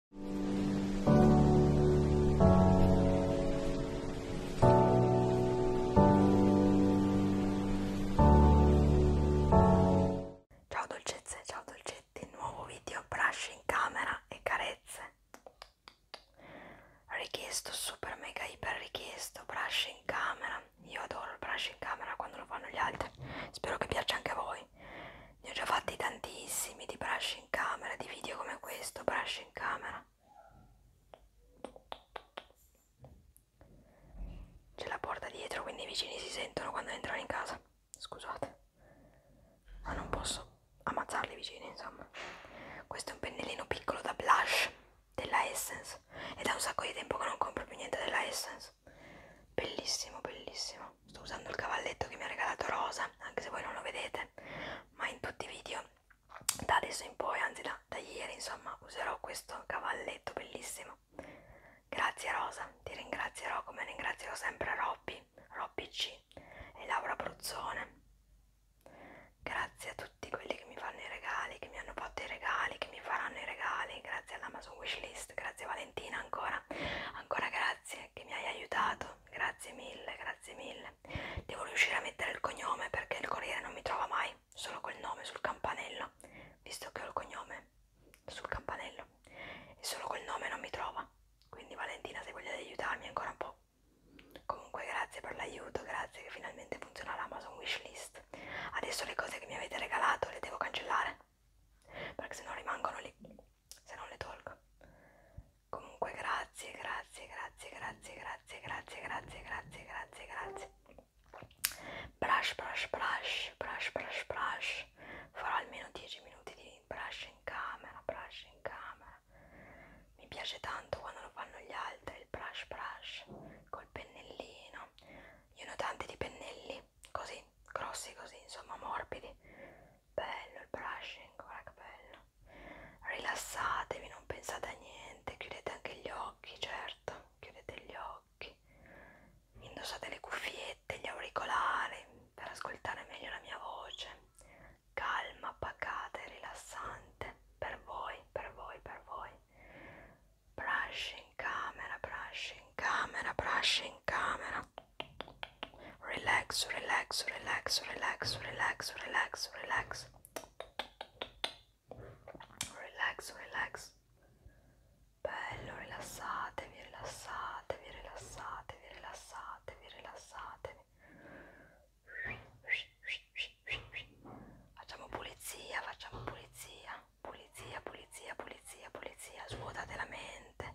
Ciao dolcezze, ciao dolcetti, nuovo video brush in camera e carezze. Richiesto, super mega iper richiesto, brush in camera. Io adoro il brush in camera quando lo fanno gli altri. Spero che piaccia anche a voi voi ne ho già fatti tantissimi di brush in camera di video come questo brush in camera c'è la porta dietro quindi i vicini si sentono quando entrano in casa scusate ma non posso ammazzarli vicini insomma questo è un pennellino piccolo da blush della Essence ed è un sacco di tempo che non compro più niente della Essence bellissimo bellissimo no, sto usando il cavalletto che mi ha regalato Rosa, anche se voi non lo vedete, ma in tutti i video da adesso in poi, anzi da, da ieri insomma, userò questo cavalletto bellissimo. Grazie Rosa, ti ringrazierò come ringrazierò sempre Robby, Robby C e Laura Bruzzone. Grazie a tutti quelli che mi fanno i regali, che mi hanno fatto i regali, che mi faranno i regali, grazie all'Amazon Wishlist, grazie Valentina ancora, ancora grazie che mi hai aiutato Perfetto, grazie mille, grazie mille. Devo riuscire a mettere il cognome perché il corriere non mi trova mai, solo col nome sul campanello, visto che ho il cognome sul campanello e solo col nome non mi trova. Quindi Valentina se vogliate aiutarmi ancora un po'. Comunque grazie per l'aiuto, grazie che finalmente funziona l'Amazon Wishlist. Adesso le cose che mi avete regalato le devo cancellare perché se no rimangono lì se non le tolgo comunque grazie grazie grazie grazie grazie grazie grazie grazie grazie grazie brush brush brush brush brush brush farò almeno 10 minuti di brush in camera brush in camera mi piace tanto quando lo fanno gli altri il brush brush col pennellino io ne ho tanti di pennelli così grossi così insomma morbidi bello il brushing, guarda che bello. Rilassatevi, non pensate a niente, chiudete anche gli occhi, certo, chiudete gli occhi. Indossate le cuffiette, gli auricolari per ascoltare meglio la mia voce. Calma, pacata e rilassante per voi, per voi, per voi. Brush in camera, brush in camera, brush in camera. Relax, relax, relax, relax, relax, relax, relax. Relax, relax. Bello, rilassatevi, rilassatevi, rilassatevi, rilassatevi, rilassatevi. Facciamo pulizia, facciamo pulizia. Pulizia, pulizia, pulizia, pulizia. Svuotate la mente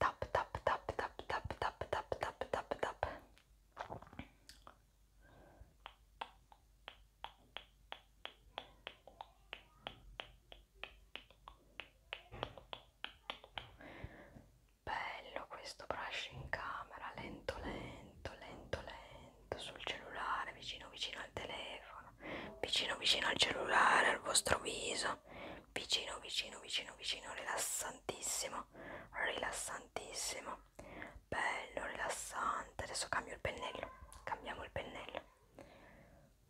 tap tap tap tap tap tap tap tap tap tap bello questo brush in camera lento lento lento lento sul cellulare vicino vicino al telefono vicino vicino al cellulare al vostro viso vicino vicino vicino vicino rilassantissimo rilassantissimo bello rilassante adesso cambio il pennello cambiamo il pennello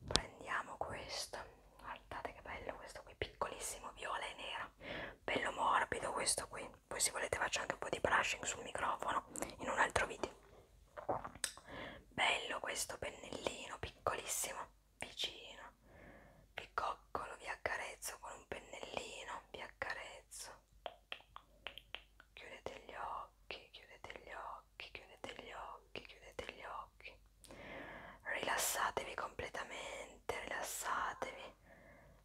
prendiamo questo guardate che bello questo qui piccolissimo viola e nero bello morbido questo qui poi se volete faccio anche un po' di brushing sul microfono in un altro video bello questo pennellino piccolissimo vicino, vi coccolo, vi accarezzo con un pennellino, vi accarezzo. Chiudete gli occhi, chiudete gli occhi, chiudete gli occhi, chiudete gli occhi. Rilassatevi completamente, rilassatevi.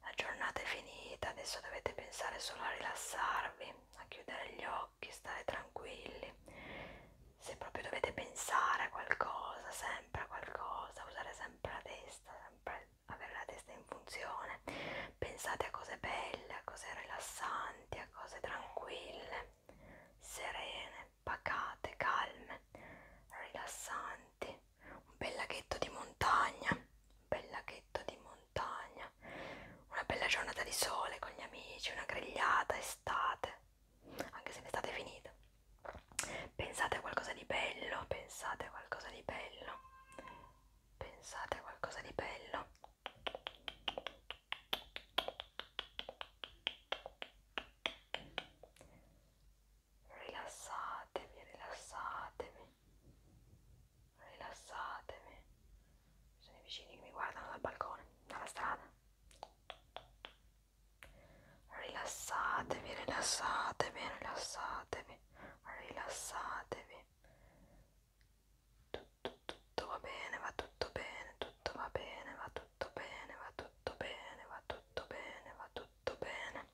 La giornata è finita, adesso dovete pensare solo a rilassarvi, a chiudere gli occhi, stare tranquilli se proprio dovete pensare a qualcosa, sempre a qualcosa, usare sempre la testa, sempre avere la testa in funzione, pensate a cose belle, a cose rilassanti, a cose tranquille, serene, pacate, calme, rilassanti, un bel laghetto di montagna, un bel laghetto di montagna, una bella giornata di sole con gli amici, una grigliata estate anche se l'estate è finita pensate a qualcosa di bello pensate a qualcosa di bello pensate a qualcosa di bello rilassatevi rilassatevi rilassatevi sono i vicini che mi guardano dal balcone dalla strada Rilassatevi, rilassatevi, rilassatevi, rilassatevi. Tutto, tutto va bene, va tutto bene, tutto va bene, va tutto bene, va tutto bene, va tutto bene, va tutto bene.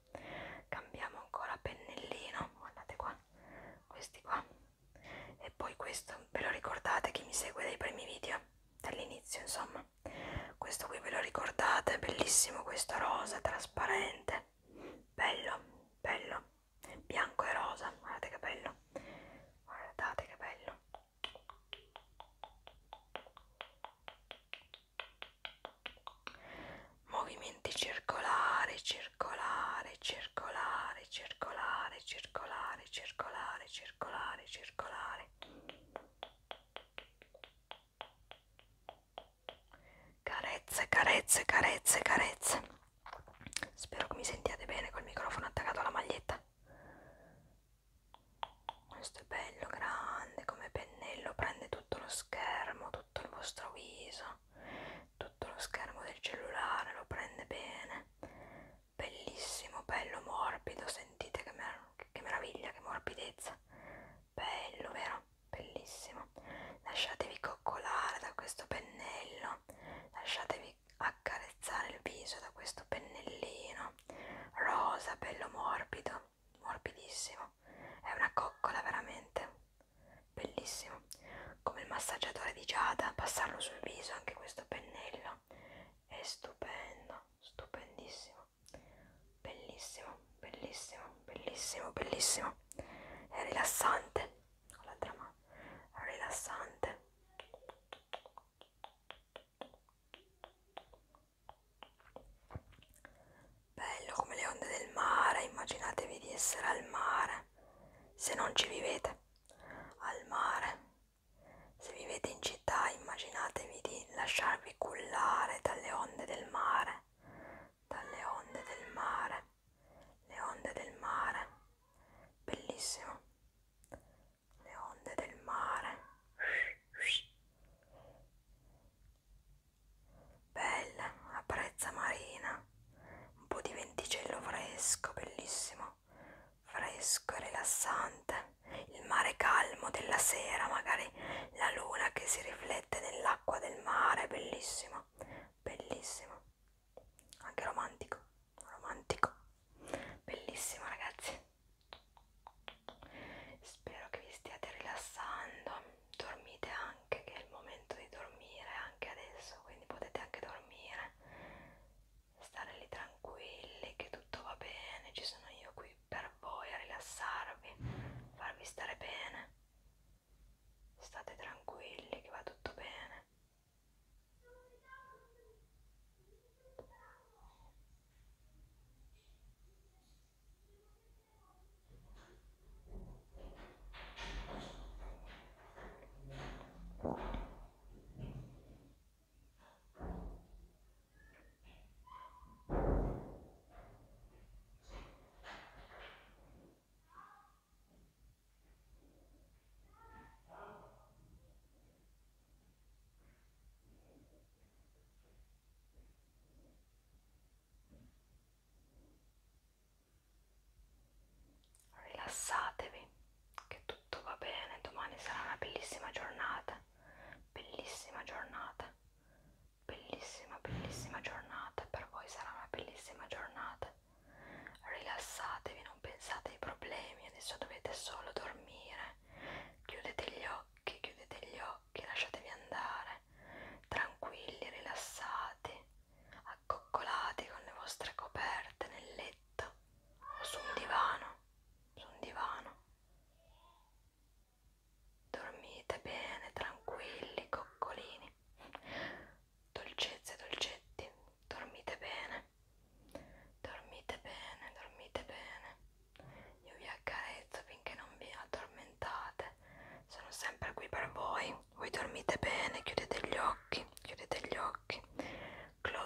Cambiamo ancora pennellino, guardate qua, questi qua. E poi questo, ve lo ricordate chi mi segue dai primi video? Dall'inizio, insomma questo qui ve lo ricordate? Bellissimo questo rosa, trasparente, bello, bello, bianco e rosa, guardate che bello, guardate che bello. Movimenti circolari, circolari, circolari, circolari, circolari, circolari, circolari, circolari. Carezze, carezze, carezze, carezze. Spero che mi sentiate bene col microfono attaccato alla maglietta. Questo è bello, grande, come pennello, prende tutto lo schermo, tutto il vostro viso, tutto lo schermo del cellulare, lo prende bene bellissimo, bello, morbido, sentite che, mer che meraviglia, che morbidezza, bello vero, bellissimo, lasciatevi coccolare da questo pennello, lasciatevi accarezzare il viso da questo pennellino, rosa, bello morbido, morbidissimo, è una coccola veramente, bellissimo, come il massaggiatore di Giada, passarlo sul viso anche questo pennello, è stupendo stupendissimo, bellissimo, bellissimo, bellissimo, bellissimo, è rilassante, con l'altra mano, è rilassante, bello come le onde del mare, immaginatevi di essere al mare, se non ci vivete, al mare se vivete in città immaginatevi di lasciarvi cullare dalle onde del mare, dalle onde del mare, le onde del mare, bellissimo, le onde del mare, bella, la brezza marina, un po' di venticello fresco, bellissimo, fresco e rilassante, il mare calmo della sera, magari la luna che si riflette nell'acqua del mare, bellissimo, bellissimo, anche romantico, romantico, bellissimo ragazzi. Spero che vi stiate rilassando, dormite anche che è il momento di dormire anche adesso, quindi potete anche dormire stare lì tranquilli che tutto va bene, ci sono io qui per voi a rilassarvi, farvi stare bene. State tranquilli che va tutto bene. Rilassatevi, che tutto va bene, domani sarà una bellissima giornata bellissima giornata, bellissima, bellissima giornata, per voi sarà una bellissima giornata. Rilassatevi, non pensate ai problemi, adesso dovete solo dormire. Chiudete gli occhi, chiudete gli occhi, lasciatevi andare, tranquilli, rilassati, accoccolati con le vostre coperte nel letto o su un divano, su un divano. Dormite bene, tranquilli, coccolini. Dolcezze, dolcetti, dormite bene. Dormite bene, dormite bene. Io vi accarezzo finché non vi addormentate. Sono sempre qui per voi. Voi dormite bene, chiudete gli occhi, chiudete gli occhi. Close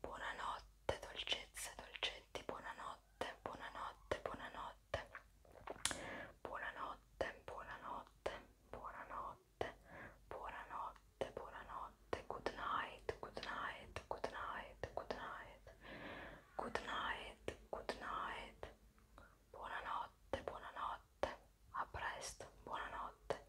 Buonanotte, dolcezze, dolcetti, buonanotte, buonanotte, buonanotte. Buonanotte, buonanotte, buonanotte, buonanotte, buonanotte. Good night, good night, good night, good night. Good night, good night. Buonanotte, buonanotte. A presto, buonanotte.